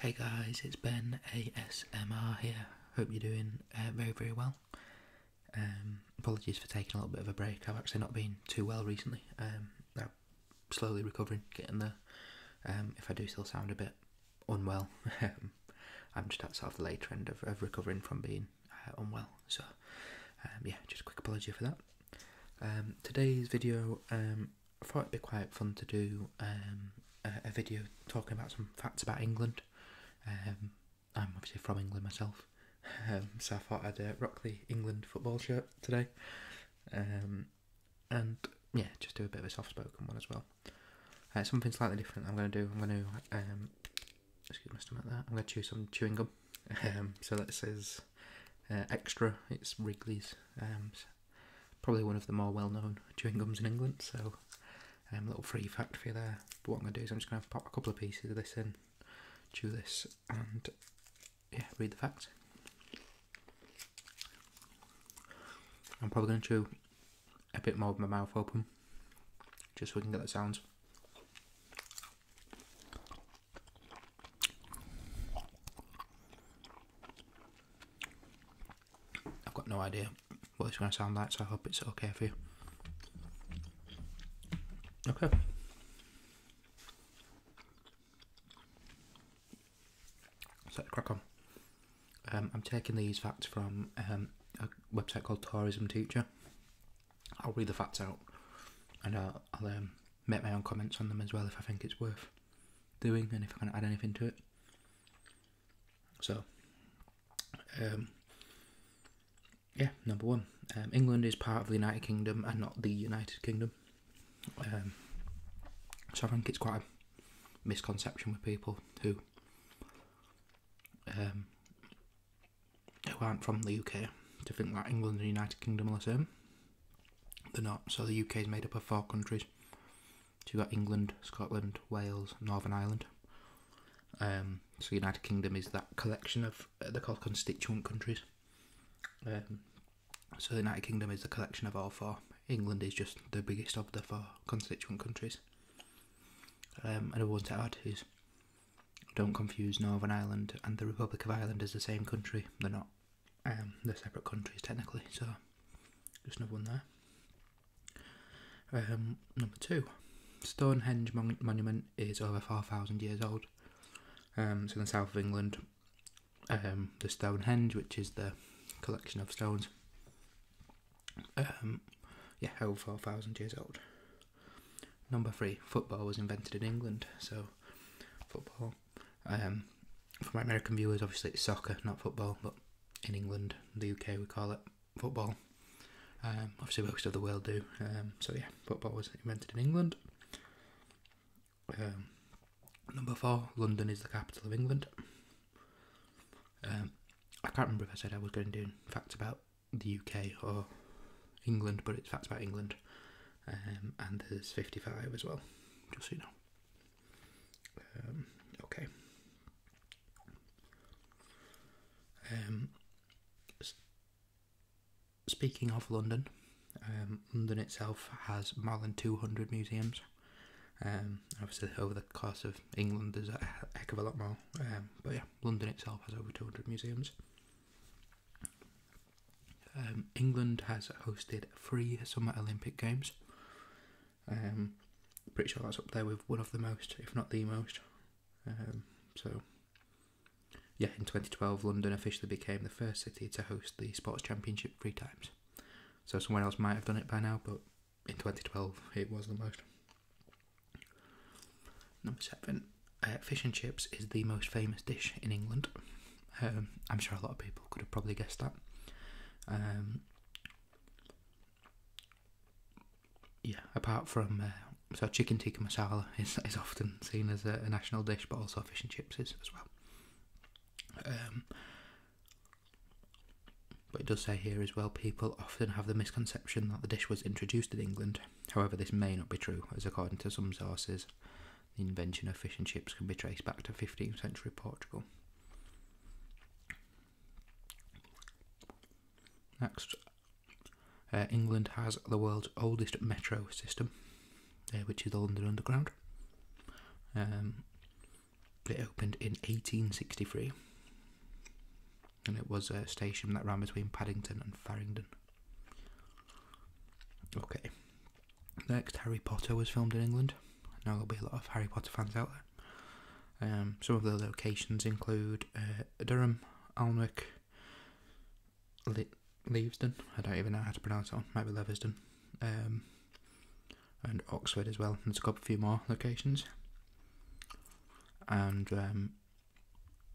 Hey guys, it's Ben ASMR here. Hope you're doing uh, very, very well. Um, apologies for taking a little bit of a break. I've actually not been too well recently. Um, I'm slowly recovering, getting there. Um, if I do still sound a bit unwell, I'm just at of the later end of, recovering from being uh, unwell. So, yeah, just a quick apology for that. today's video I thought it'd be quite fun to do um, a, video talking about some facts about England. Um, I'm obviously from England myself, um, so I thought I'd uh, rock the England football shirt today. and yeah, just do a bit of a soft spoken one as well. Uh, something slightly different I'm going to do. I'm going to, excuse my stomach, that. I'm going to chew some chewing gum. so that says uh, extra, it's Wrigley's probably one of the more well-known chewing gums in England. So, a um, little free fact for you there. But what I'm gonna do is I'm just gonna pop a couple of pieces of this in, chew this, and yeah, read the facts. I'm probably gonna chew a bit more with my mouth open, just so we can get the sounds. I've got no idea what it's going to sound like, so I hope it's okay for you. Okay. So crack on. Um, I'm taking these facts from um, a website called Tourism Teacher. I'll read the facts out, and I'll, um, make my own comments on them as well if I think it's worth doing and if I can add anything to it. So, um, yeah, number one, um, England is part of the United Kingdom and not the United Kingdom. Um, so I think it's quite a misconception with people who um, who aren't from the UK to think that England and the United Kingdom are the same. They're not. So the UK is made up of four countries. you've got England, Scotland, Wales, Northern Ireland. Um, so United Kingdom is that collection of uh, they're constituent countries. Um, so the United Kingdom is the collection of all four. England is just the biggest of the four constituent countries. Um, another one to add is don't confuse Northern Ireland and the Republic of Ireland as the same country. They're not. Um, they're separate countries technically, so just another one there. Um, number two, Stonehenge monument is over four thousand years old. Um, it's in the south of England. Um, the Stonehenge, which is the collection of stones, um, yeah, over four thousand years old. Number three, football was invented in England, so football um, for my American viewers, obviously it's soccer, not football, but in England, the UK, we call it football. Um, obviously, most of the world do. Um, so yeah, football was invented in England. number four, London is the capital of England. I can't remember if I said I was going to do facts about the UK or England, but it's facts about England. and there's 55 as well, just so you know. Um, okay. Um, speaking of London, um, London itself has more than 200 museums. Um, obviously, over the course of England, there's a heck of a lot more. Um, but yeah, London itself has over 200 museums. Um, England has hosted three Summer Olympic Games. Um, pretty sure that's up there with one of the most, if not the most. Um, so, yeah, in 2012, London officially became the first city to host the sports championship three times. So, someone else might have done it by now, but in 2012, it was the most. Number seven, uh, fish and chips is the most famous dish in England. Um, I'm sure a lot of people could have probably guessed that. Um, yeah, apart from uh, so chicken tikka masala is is often seen as a, national dish, but also fish and chips is as well. Um, but it does say here as well, people often have the misconception that the dish was introduced in England. However, this may not be true, as according to some sources, the invention of fish and chips can be traced back to 15th century Portugal. Next, uh, England has the world's oldest metro system, uh, which is the London Underground. Um, it opened in 1863 and it was a station that ran between Paddington and Farringdon. Okay, Next, Harry Potter was filmed in England. Now there'll be a lot of Harry Potter fans out there. Um, some of the locations include uh, Durham, Alnwick, Le- Leavesden. I don't even know how to pronounce that Might be Leversden. Um, and Oxford as well. And there's a couple few more locations. And um,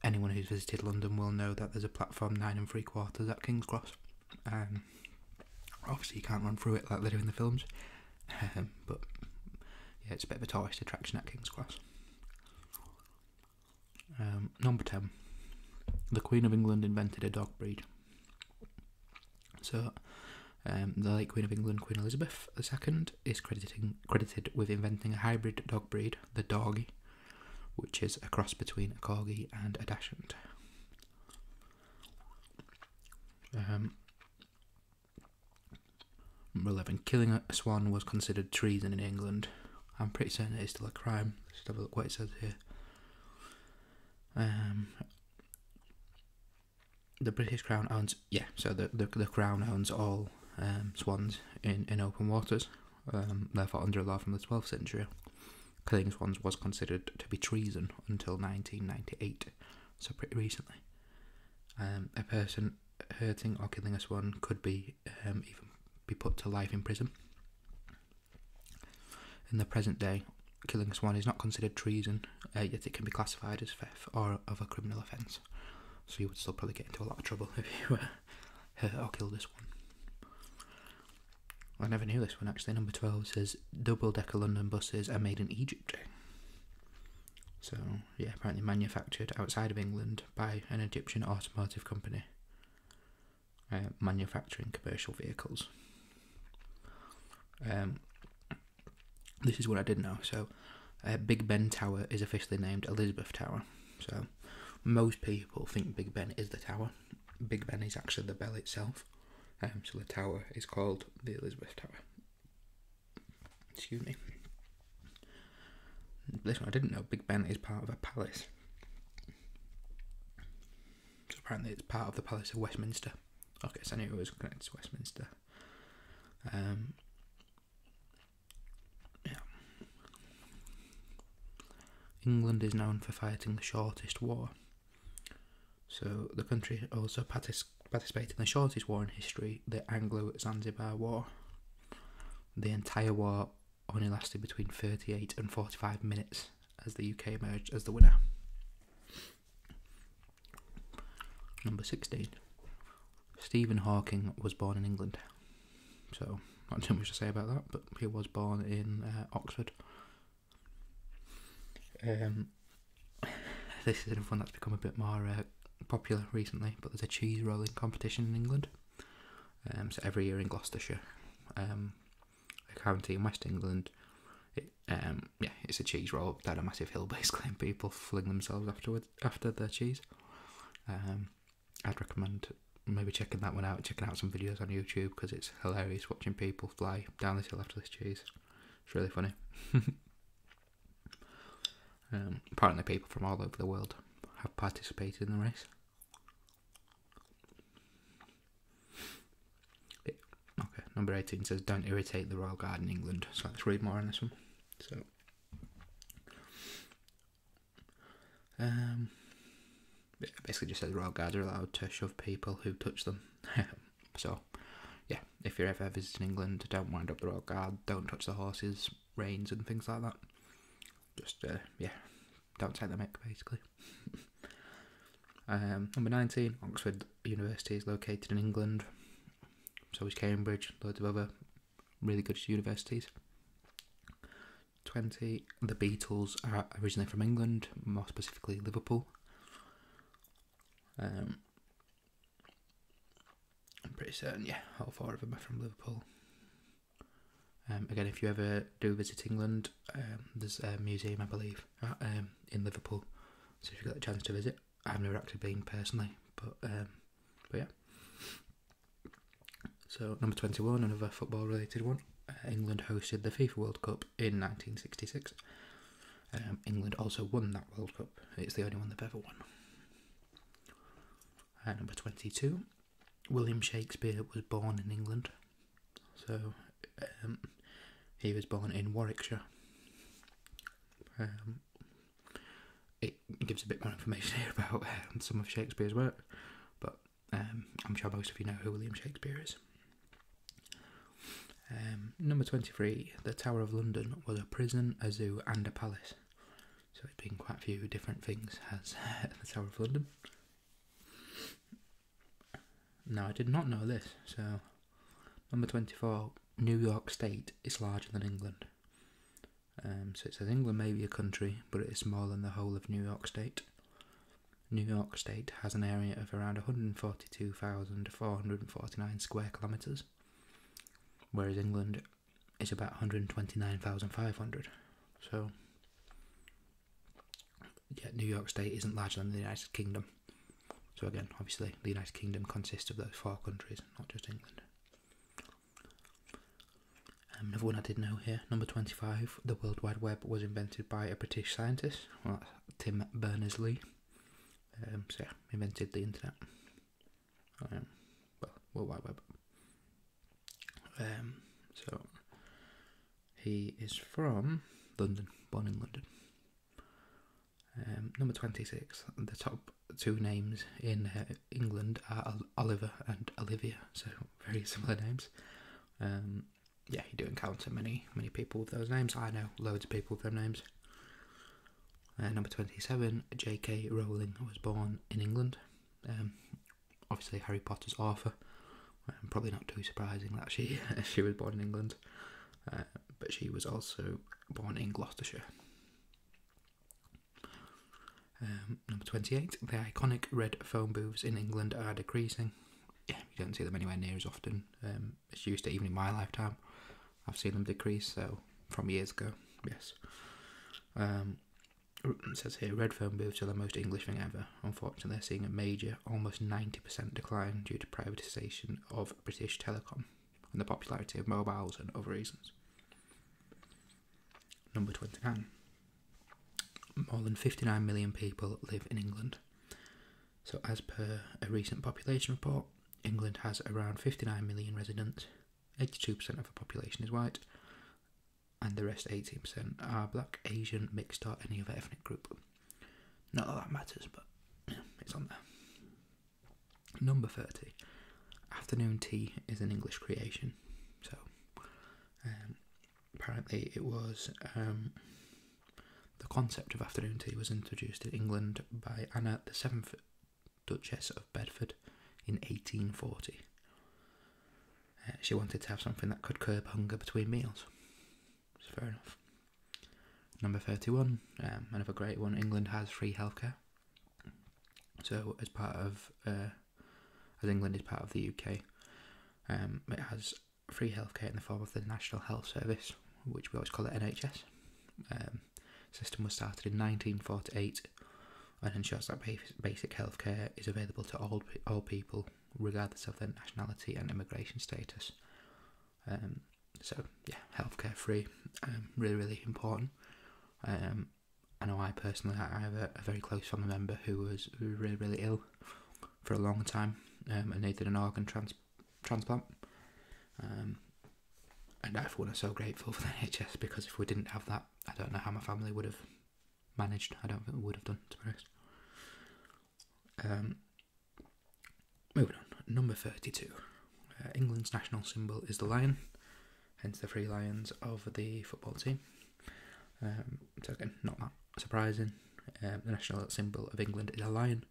anyone who's visited London will know that there's a platform nine and three quarters at King's Cross. Um, obviously, you can't run through it like they do in the films, um, but yeah, it's a bit of a tourist attraction at King's Cross. Um, number 10. The Queen of England invented a dog breed. So, the late Queen of England, Queen Elizabeth II, is crediting, credited with inventing a hybrid dog breed, the Dorgie, which is a cross between a Corgi and a Dachshund. Um, number 11. Killing a swan was considered treason in England. I'm pretty certain it is still a crime. Let's have a look what it says here. Um, the British Crown owns, yeah, so the, the, Crown owns all um, swans in, in open waters, therefore under law from the 12th century killing swans was considered to be treason until 1998, so pretty recently. Um, a person hurting or killing a swan could be um, even be put to life in prison. In the present day, killing a swan is not considered treason, uh, yet it can be classified as theft or of a criminal offence. So you would still probably get into a lot of trouble if you uh, hurt or killed I never knew this one actually. Number 12 says double decker London buses are made in Egypt. So, yeah, apparently manufactured outside of England by an Egyptian automotive company uh, manufacturing commercial vehicles. Um, this is what I did know. So, uh, Big Ben Tower is officially named Elizabeth Tower. So, most people think Big Ben is the tower. Big Ben is actually the bell itself. Um, so the tower is called the Elizabeth Tower. Excuse me. This one I didn't know. Big Ben is part of a palace. So apparently it's part of the Palace of Westminster. Okay, so I it was connected to Westminster. Um, yeah. England is known for fighting the shortest war. So the country also participated in the shortest war in history, the Anglo-Zanzibar War. The entire war only lasted between 38 and 45 minutes as the UK emerged as the winner. Number 16. Stephen Hawking was born in England. So, not too much to say about that, but he was born in uh, Oxford um, this is one that's become a bit more uh, popular recently, but there's a cheese rolling competition in England. Um, so every year in Gloucestershire, um, a county in West England, yeah, it's a cheese roll down a massive hill basically, and people fling themselves afterwards after their cheese. I'd recommend maybe checking that one out, checking out some videos on YouTube because it's hilarious watching people fly down this hill after this chase. It's really funny. Um, apparently, people from all over the world have participated in the race. okay, number 18 says, Don't irritate the Royal Guard in England. So let's read more on this one. So, um, basically just says royal guards are allowed to shove people who touch them. so, yeah, if you're ever visiting England, don't wind up the royal guard, don't touch the horses, reins, and things like that. Just, uh, yeah, don't take the mic, basically. Um, number 19, Oxford University is located in England. So is Cambridge, loads of other really good universities. 20, the Beatles are originally from England, more specifically Liverpool. Um, I'm pretty certain, yeah, all four of them are from Liverpool. Um, again, if you ever do visit England, um, there's a museum, I believe, in Liverpool. So if you got the chance to visit, I've never actually been personally, but but yeah. So number twenty-one, another football-related one. England hosted the FIFA World Cup in 1966. Um, England also won that World Cup. It's the only one they've ever won. number 22, William Shakespeare was born in England. So um, he was born in Warwickshire. Um, it gives a bit more information here about some of Shakespeare's work, but um, I'm sure most of you know who William Shakespeare is. Um, number 23, the Tower of London was a prison, a zoo, and a palace. So it's been quite a few different things as the Tower of London. Now, I did not know this, so number 24, New York State is larger than England. Um, so it says England may be a country, but it is smaller than the whole of New York State. New York State has an area of around 142,449 square kilometres, whereas England is about 129,500. So, yeah, New York State isn't larger than the United Kingdom. So, again, obviously, the United Kingdom consists of those four countries, not just England. Um, another one I did know here, number 25, the World Wide Web was invented by a British scientist, Tim Berners Lee. Um, so, yeah, invented the internet. Um, well, World Wide Web. Um, so, he is from London, born in London. number 26, the top two names in uh, England are Oliver and Olivia, so very similar names yeah, you do encounter many, many people with those names. I know loads of people with those names. Uh, number 27, J.K. Rowling was born in England. Um, obviously, Harry Potter's author. Um, probably not too surprising that she she was born in England, uh, but she was also born in Gloucestershire. Um, number 28, the iconic red phone booths in England are decreasing yeah, you don't see them anywhere near as often as um, used to, even in my lifetime. I've seen them decrease, so from years ago, yes. Um, says here, red phone booths are the most English thing ever. Unfortunately, they're seeing a major, almost 90% decline due to privatisation of British telecom and the popularity of mobiles and other reasons. Number 29 more than 59 million people live in England. So, as per a recent population report, England has around 59 million residents, 82% of the population is white, and the rest, 18%, are black, Asian, mixed, or any other ethnic group. Not that that matters, but it's on there. Number 30. Afternoon tea is an English creation. So, um, apparently it was um, the concept of afternoon tea was introduced in England by Anna the Seventh Duchess of Bedford in 1840. Uh, she wanted to have something that could curb hunger between meals. fair enough. Number 31, um, another great one. England has free healthcare. So, as part of, uh, as England is part of the UK, um, it has free healthcare in the form of the National Health Service, which we always call it NHS. Um, system was started in 1948 and ensures that basic healthcare is available to all all people, regardless of their nationality and immigration status. Um, so yeah, healthcare free, um, really really important. Um, I know I personally I have a very close family member who was really really ill for a long time, um, and they did an organ transplant. Um, and I, have one, am so grateful for the NHS because if we didn't have that, I don't know how my family would have managed. I don't think we would have done, to be honest. Um, moving on, number 32. Uh, England's national symbol is the lion, hence the three lions of the football team so again, not that surprising. Um, the national symbol of England is a lion,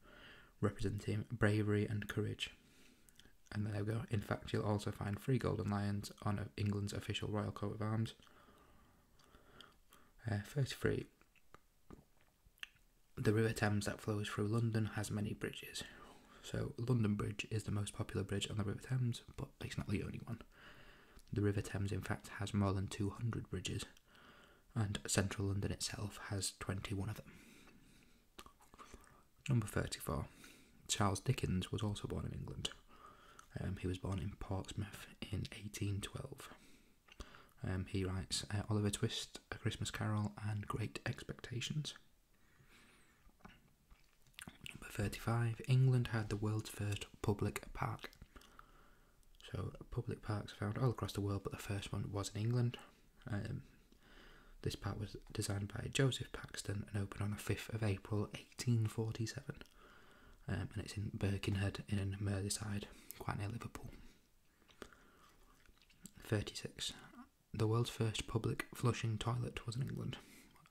representing bravery and courage. And there you go. In fact, you'll also find three golden lions on England's official royal coat of arms. Uh, 33. The River Thames that flows through London has many bridges. So, London Bridge is the most popular bridge on the River Thames, but it's not the only one. The River Thames, in fact, has more than 200 bridges, and central London itself has 21 of them. Number 34. Charles Dickens was also born in England. Um, he was born in Portsmouth in 1812. Um, he writes uh, Oliver Twist, A Christmas Carol, and Great Expectations. Number 35. England had the world's first public park. So public parks are found all across the world, but the first one was in England. Um, this park was designed by Joseph Paxton and opened on the 5th of April 1847. Um, and it's in Birkenhead in Merseyside, quite near Liverpool. 36. The world's first public flushing toilet was in England.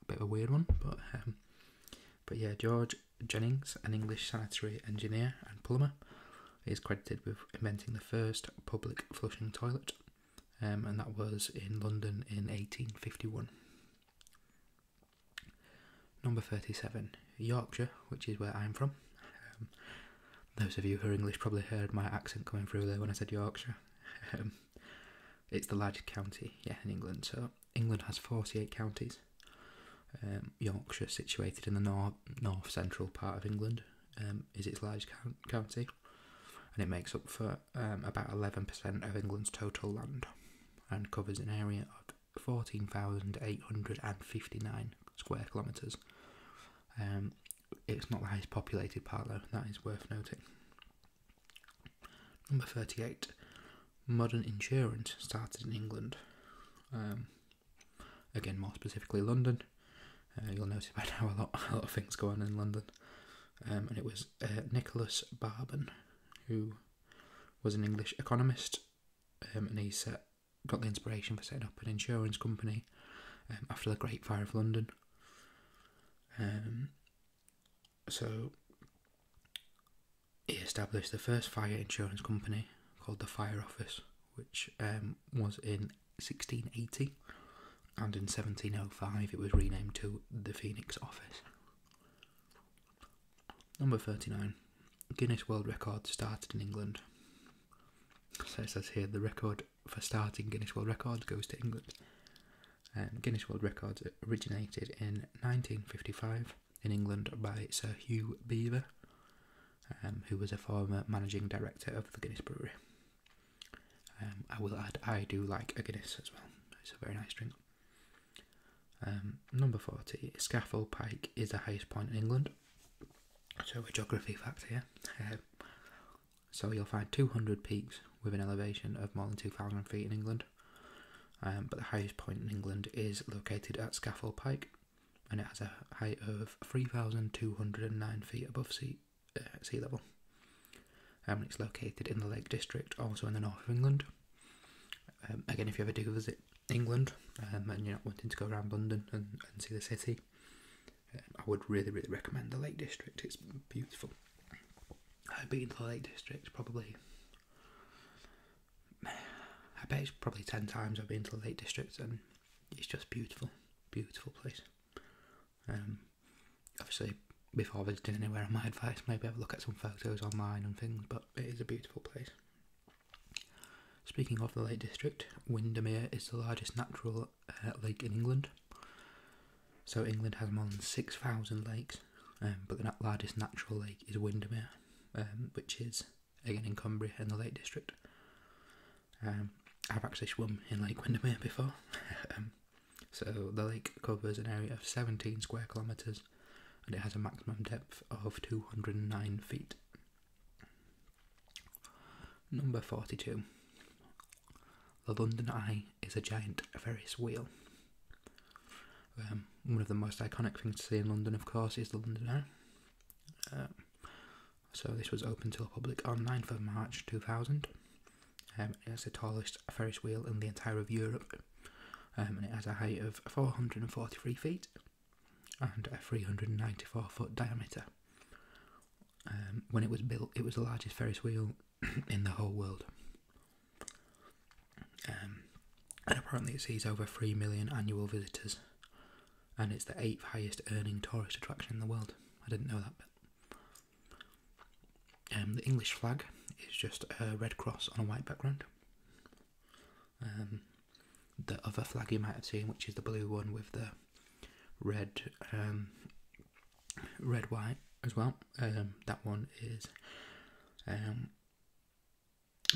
A bit of a weird one, but um, but yeah, George Jennings, an English sanitary engineer and plumber, is credited with inventing the first public flushing toilet, um, and that was in London in 1851. Number 37, Yorkshire, which is where I'm from. Um, those of you who are English probably heard my accent coming through there when I said Yorkshire. Um, it's the largest county, yeah, in England, so England has 48 counties. Um, Yorkshire, situated in the north, north central part of England, um, is its largest county, and it makes up for um, about 11% of England's total land and covers an area of 14,859 square kilometres. it's not the highest populated part, though, that is worth noting. Number 38 modern insurance started in England. Um, again, more specifically London. Uh, you'll notice by now a lot, a lot of things go on in London. Um, and it was uh, Nicholas Barben, who was an English economist, um, and he set, got the inspiration for setting up an insurance company after the Great Fire of London. so he established the first fire insurance company called the Fire Office, which um, was in 1680, and in 1705 it was renamed to the Phoenix Office. Number 39. Guinness World Records started in England. So it says here the record for starting Guinness World Records goes to England. and um, Guinness World Records originated in 1955 in England by Sir Hugh Beaver, um, who was a former managing director of the Guinness Brewery. Um, I will add, I do like a Guinness as well. It's a very nice drink. Um, number 40, Scaffold Pike is the highest point in England. So, a geography fact here. so, you'll find 200 peaks with an elevation of more than 2,000 feet in England. Um, but the highest point in England is located at Scaffold Pike, and it has a height of 3,209 feet above sea, uh, sea level. Um, and it's located in the Lake District, also in the north of England. Um, again, if you ever do visit England and you're not wanting to go around London and, and see the city, I would really, really recommend the Lake District. It's beautiful. I've been to the Lake District probably I bet it's probably 10 times I've been to the Lake District and it's just beautiful, beautiful place. Um, obviously, before visiting anywhere on my advice, maybe have a look at some photos online and things, but it is a beautiful place. Speaking of the Lake District, Windermere is the largest natural uh, lake in England. So England has more than 6,000 lakes, um, but the largest natural lake is Windermere. Um, which is again in Cumbria in the Lake District. Um, I've actually swum in Lake Windermere before. Um, so the lake covers an area of 17 square kilometres and it has a maximum depth of 209 feet. Number 42. The London Eye is a giant ferris wheel. Um, one of the most iconic things to see in London, of course, is the London Eye. Um, so this was open to the public on 9th of March 2000. Um, it's the tallest Ferris wheel in the entire of Europe, and it has a height of 443 feet and a 394 foot diameter. when it was built, it was the largest Ferris wheel in the whole world. Um, and apparently, it sees over 3 million annual visitors, and it's the eighth highest earning tourist attraction in the world. I didn't know that bit. Um, the English flag is just a red cross on a white background. Um, the other flag you might have seen, which is the blue one with the red, red white as well. that one is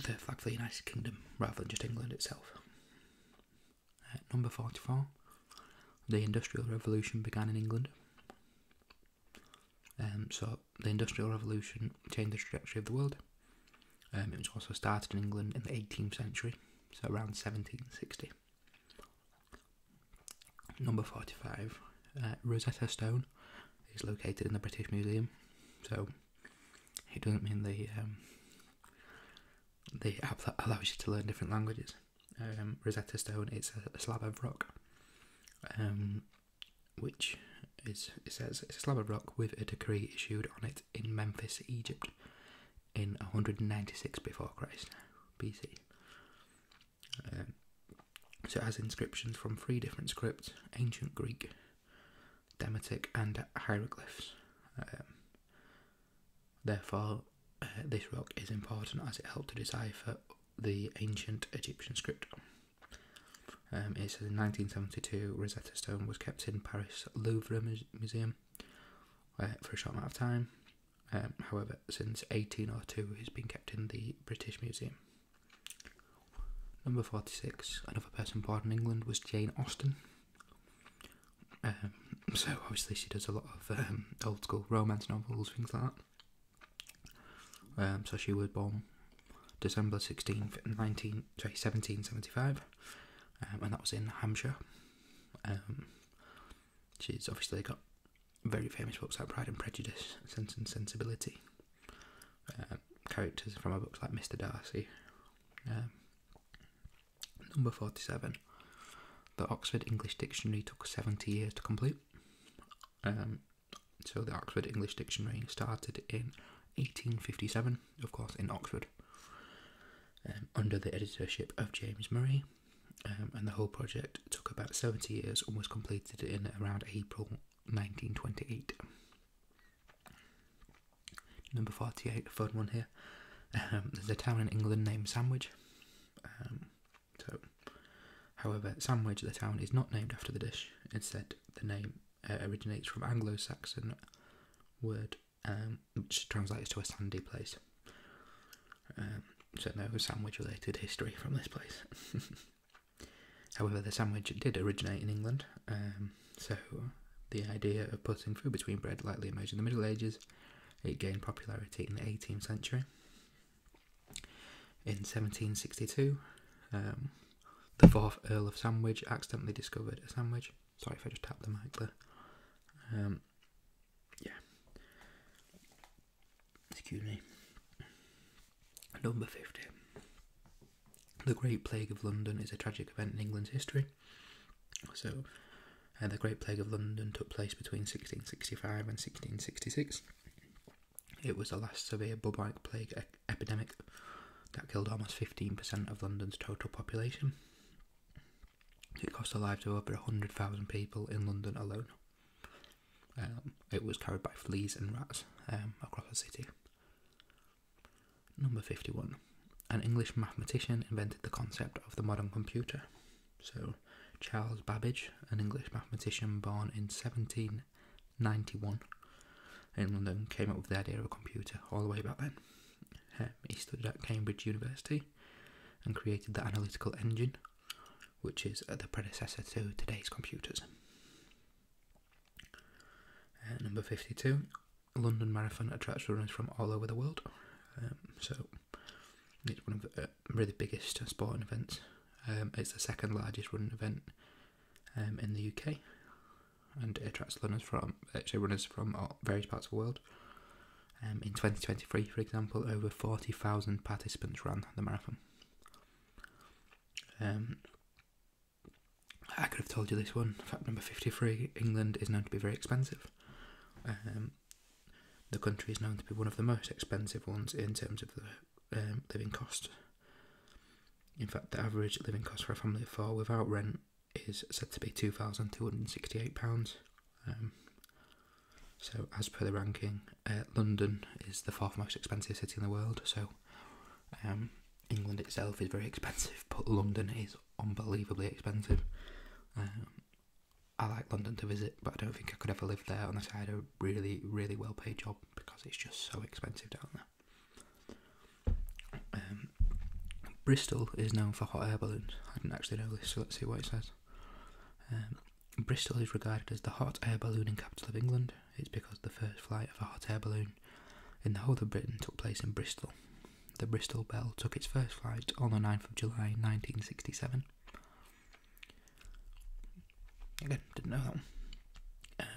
the flag for the United Kingdom rather than just England itself. Uh, number 44. The Industrial Revolution began in England. Um, so, the Industrial Revolution changed the trajectory of the world. Um, it was also started in England in the 18th century, so around 1760. Number 45, uh, Rosetta Stone Museum is located in the British Museum, so it doesn't mean the app they um, allows you to learn different languages. Um, Rosetta Stone it's a, slab of rock, um, which is it says it's a slab of rock with a decree issued on it in Memphis, Egypt, in 196 before Christ, BC. so it has inscriptions from three different scripts: ancient Greek, Demotic and hieroglyphs. Um, therefore, uh, this rock is important as it helped to decipher the ancient Egyptian script. Um, it says in 1972, Rosetta Stone was kept in Paris Louvre Museum uh, for a short amount of time. Um, however, since 1802, it's been kept in the British Museum. Number 46, another person born in England was Jane Austen. Um, so obviously she does a lot of um, old school romance novels, things like that. Um, so she was born December 16th, 19, and that was in Hampshire. she's obviously got very famous books like Pride and Prejudice, Sense and Sensibility. Um, characters from a book like Mr. Darcy. Um, number 47. The Oxford English Dictionary took 70 years to complete. Um, so the Oxford English Dictionary started in 1857, of course, in Oxford, under the editorship of James Murray. and the whole project took about 70 years Almost completed in around April 1928. Number 48, a fun one here. Um, there's a town in England named Sandwich. Um, so, however, Sandwich, the town, is not named after the dish. Instead, the name uh, originates from Anglo-Saxon word, um, which translates to a sandy place. so, no sandwich-related history from this place. However, the sandwich did originate in England, um, so the idea of putting food between bread likely emerged in the Middle Ages. It gained popularity in the 18th century. In 1762, um, the fourth Earl of Sandwich accidentally discovered a sandwich. Sorry if I just tapped the mic there. Um, yeah. Excuse me. Number 50. The Great Plague of London is a tragic event in England's history. So, uh, the Great Plague of London took place between 1665 and 1666. It was the last severe bubonic plague epidemic that killed almost 15% of London's total population. It cost the lives of over 100,000 people in London alone. Um, it was carried by fleas and rats um, across the city. Number 51. An English mathematician invented the concept of the modern computer. So, Charles Babbage, an English mathematician born in 1791 in London, came up with the idea of a computer all the way back then. Um, he studied at Cambridge University and created the analytical engine, which is the predecessor to today's computers. Uh, number 52, London Marathon attracts runners from all over the world. Um, so it's one of the uh, really biggest sporting events. Um, it's the second largest running event um, in the UK, and attracts runners from actually runners from various parts of the world. in 2023, for example, over 40,000 participants ran the marathon. I could have told you this one. Fact number 53 England is known to be very expensive. Um, the country is known to be one of the most expensive ones in terms of the um, living costs. In fact, the average living cost for a family of four without rent is said to be £2,268. Um, so, as per the ranking, uh, London is the fourth most expensive city in the world. So, um, England itself is very expensive, but London is unbelievably expensive. Um, I like London to visit, but I don't think I could ever live there unless I had a really, really well paid job because it's just so expensive down there. Um, Bristol is known for hot air balloons. I didn't actually know this, so let's see what it says. Bristol is regarded as the hot air ballooning capital of England, it's because the first flight of a hot air balloon in the whole of Britain took place in Bristol. The Bristol Bell took its first flight on the 9th of July 1967. Again, didn't know that one. and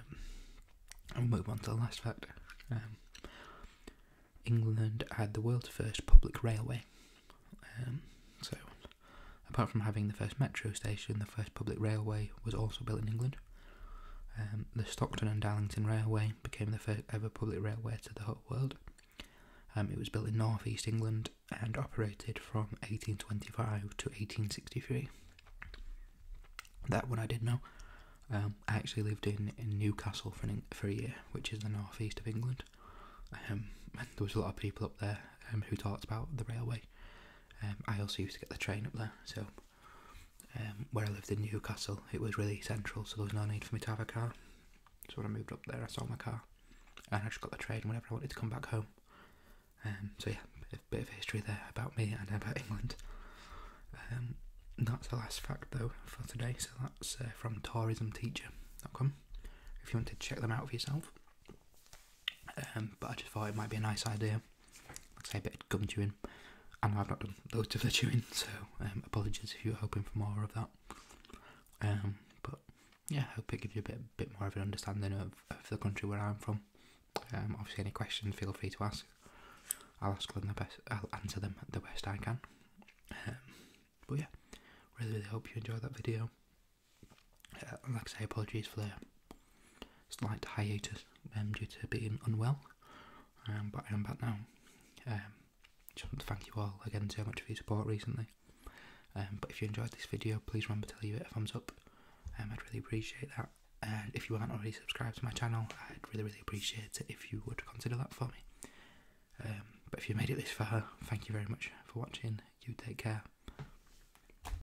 um, we'll move on to the last fact. Um, England had the world's first public railway. Um, so apart from having the first metro station, the first public railway was also built in England. Um, the Stockton and Darlington Railway became the first ever public railway to the whole world. Um, it was built in North East England and operated from 1825 to 1863. That one I did know. Um, I actually lived in, in Newcastle for, for a year, which is the northeast of England. there was a lot of people up there who talked about the railway. Um, I also used to get the train up there, so um, where I lived in Newcastle, it was really central, so there was no need for me to have a car. So when I moved up there, I sold my car, and I just got the train whenever I wanted to come back home. Um, so yeah, a bit of history there about me and about England. that's the last fact though for today. So that's uh, from tourismteacher.com. If you want to check them out for yourself. Um, but I just thought it might be a nice idea. I us say a bit of gum chewing. And I've not done loads of the chewing, so um, apologies if you are hoping for more of that. Um, but yeah, I hope it gives you a bit, bit more of an understanding of, the country where I'm from. obviously, any questions, feel free to ask. I'll ask them the best. I'll answer them the best I can. but yeah, really, really hope you enjoy that video. Uh, like I say, apologies for the slight hiatus um, due to being unwell, um, but I am back now. Um, just want to thank you all again so much for your support recently. Um, but if you enjoyed this video, please remember to leave it a thumbs up. Um, I'd really appreciate that. And uh, if you aren't already subscribed to my channel, I'd really, really appreciate it if you would consider that for me. Um, but if you made it this far, thank you very much for watching. You take care.